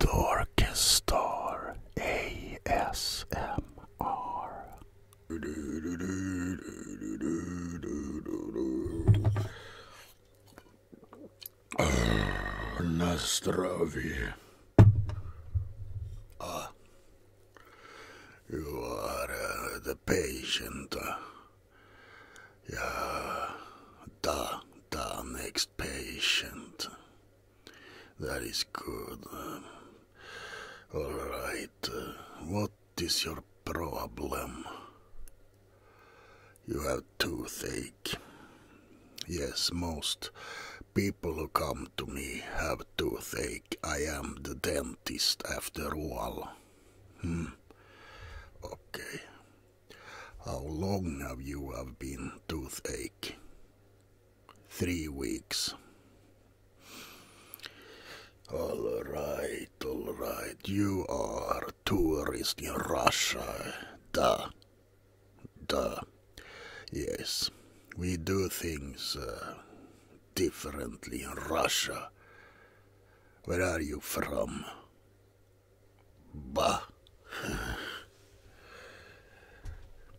Dorkestar ASMR Na zdrowie. Ah, you are uh, the patient. Uh, yeah, da, da, next patient. That is good. All right. What is your problem? You have toothache. Yes, most people who come to me have toothache. I am the dentist after all. Hmm. Okay. How long have you have been toothache? Three weeks. All right, all right. You are tourist in Russia. Duh. Duh. Yes, we do things uh, differently in Russia. Where are you from? Bah.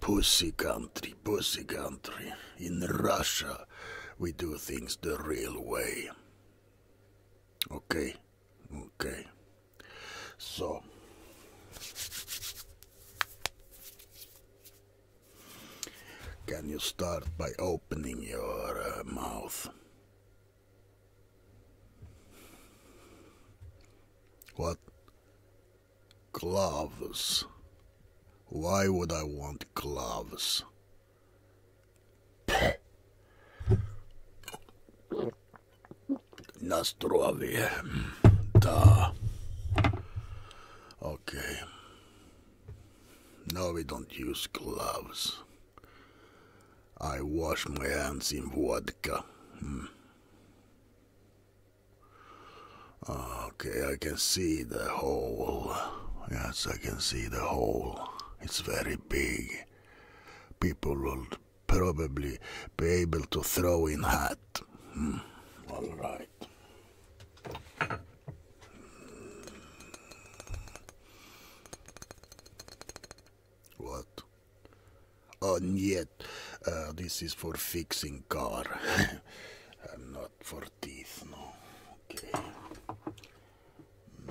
pussy country, pussy country. In Russia, we do things the real way. Okay, okay. So. Can you start by opening your uh, mouth? What? Gloves. Why would I want gloves? Na Da. Okay. No, we don't use gloves. I wash my hands in vodka. Hmm. Okay, I can see the hole. Yes, I can see the hole. It's very big. People will probably be able to throw in hat. Hmm, all right. What? Oh, yet. Eh, this is for fixing car. I'm not for teeth, no. Okay. Hmm.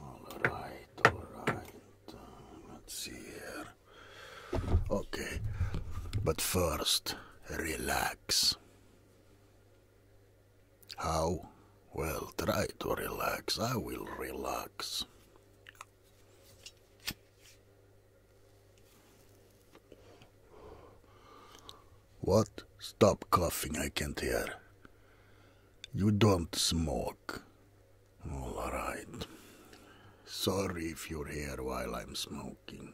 All right, all right. Uh, let's see here. Okay. But first, relax. How? Well, try to relax. I will relax. What? Stop coughing, I can't hear. You don't smoke. All right. Sorry if you're here while I'm smoking.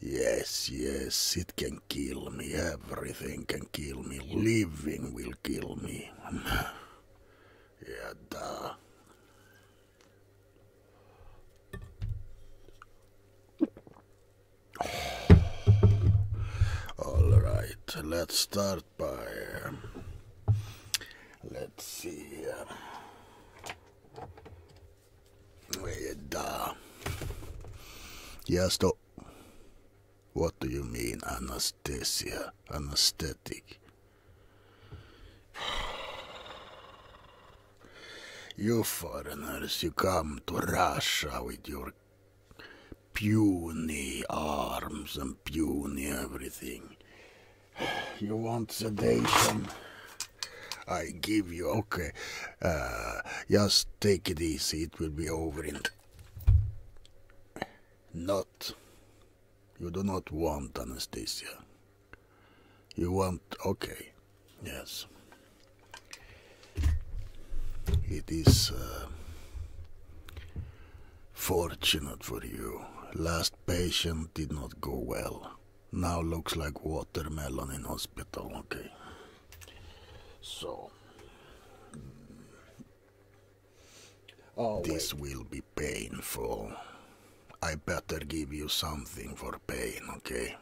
Yes, yes, it can kill me. Everything can kill me. Living will kill me. yeah, duh. All right, let's start by. let's see. here. Uh, Weda. Yes, stop. What do you mean, anesthesia? Anesthetic? You foreigners, you come to Russia with your puny arms and puny everything. You want sedation? I give you. Okay. Uh, just take it easy. It will be over in. Not. You do not want Anastasia. You want. Okay. Yes. It is. Uh, Fortunate for you, last patient did not go well. Now looks like watermelon in hospital, okay. So... Oh, this will be painful. I better give you something for pain, okay?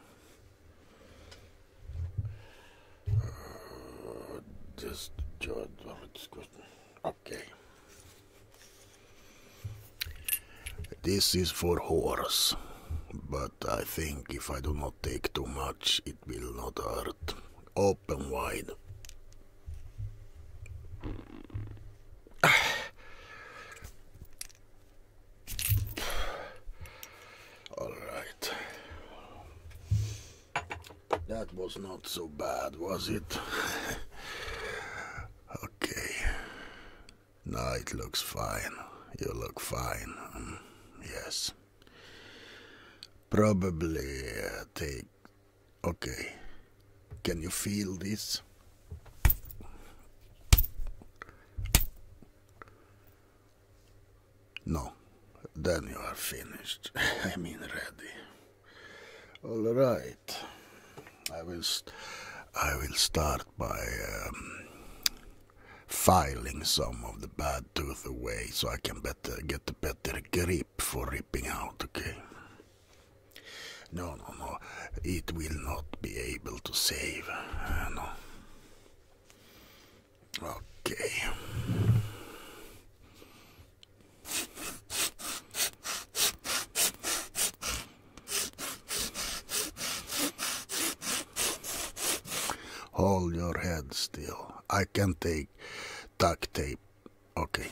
Uh, just... Okay. This is for horse, but I think if I do not take too much, it will not hurt. Open wide. Alright. That was not so bad, was it? Okay. Now it looks fine. You look fine. Mm, yes. Probably uh, take. Okay. Can you feel this? No. Then you are finished. I mean, ready. All right. I will I will start by um, filing some of the bad tooth away so I can better get a better grip for ripping out, okay? No, no, no. It will not be able to save. Uh, no. Okay. Hold your head still. I can take duct tape. Okay.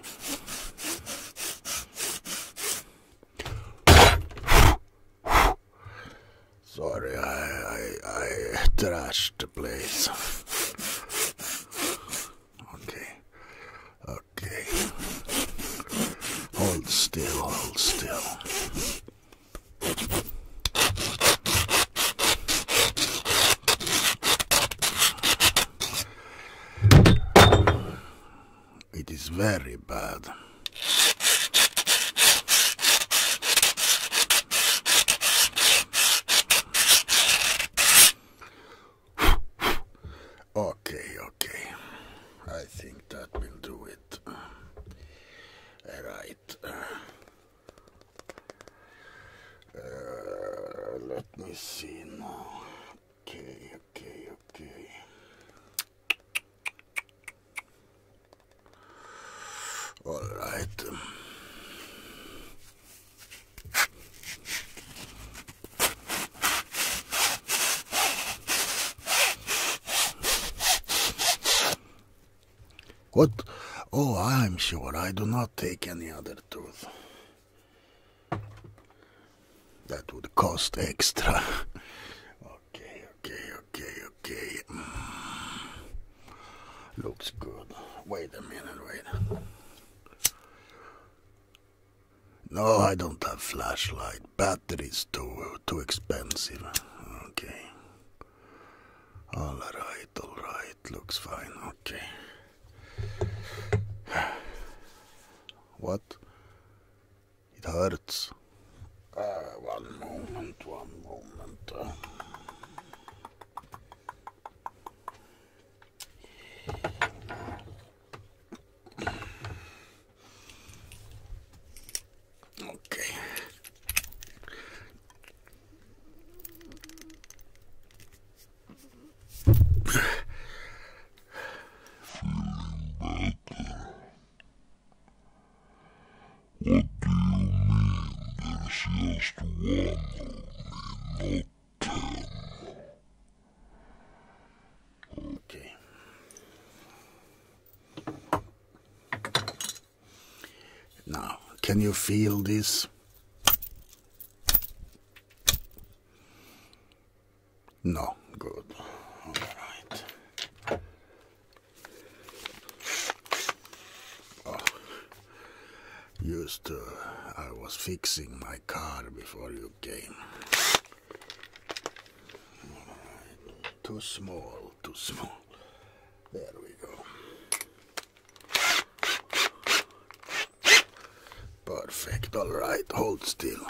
Sorry, I, I, I trashed the place. Okay. Okay. Hold still, hold still. It is very bad okay, okay. I think that will do it. Alright. Uh, let me see now. Okay, okay, okay. Alright. What? Oh, I am sure I do not take any other tooth. That would cost extra. okay, okay, okay, okay. Mm. Looks good. Wait a minute, wait. No, I don't have flashlight. Batteries too too expensive. Okay. All right, all right. Looks fine. Okay. What? It hurts. Uh, one moment, one moment. Okay. Feeling better. What do you mean there is just one of me, Okay. Now, can you feel this? No, good. All right. Oh, used to. I was fixing my car before you came. Too small, too small. There we go. Perfect, alright, hold still.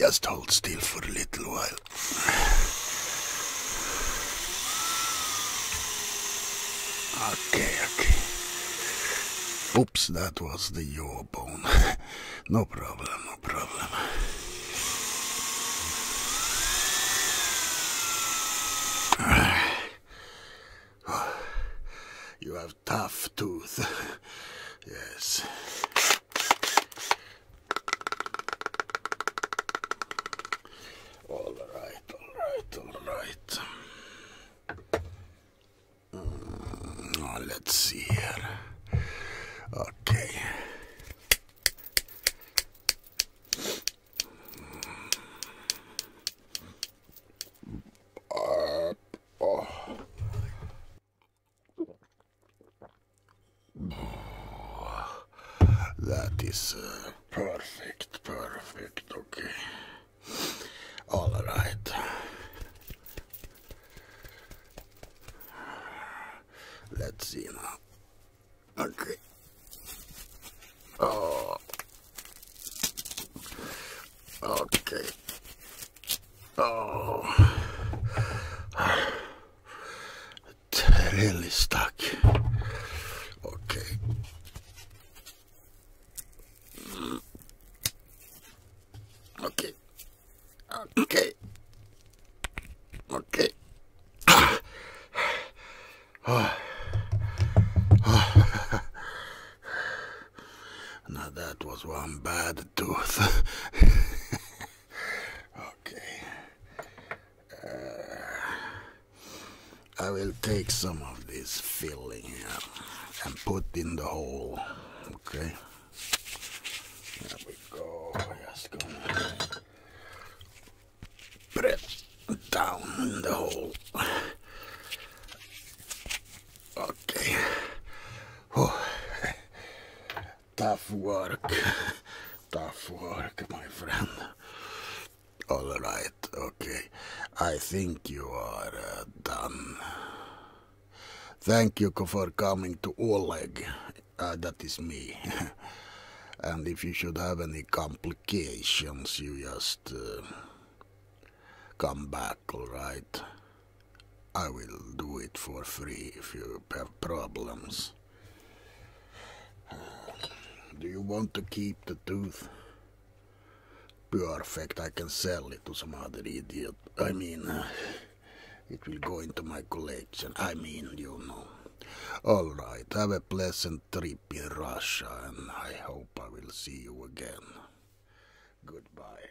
Just hold still for a little while. Okay, okay. Oops, that was the jawbone. no problem, no problem. You have tough tooth. yes. All right, all right, all right. Mm, uh, let's see here. Okay. Mm that is uh, perfect, perfect, okay. All right. Let's see now. Okay. Oh. Okay. Oh. It's really stuck. Okay. Okay. Okay. Okay. Oh. Oh. Ah. Ah. Now that was one bad tooth. okay. Uh, I will take some of this filling here and put in the hole. Okay. There we go. Just gonna press down in the hole. Okay. Tough work. Tough work, my friend. All right, okay. I think you are uh, done. Thank you for coming to Oleg. Uh, that is me. and if you should have any complications, you just uh, come back, all right? I will do it for free if you have problems. Do you want to keep the tooth? Perfect, I can sell it to some other idiot. I mean, it will go into my collection. I mean, you know. Alright, have a pleasant trip in Russia and I hope I will see you again. Goodbye.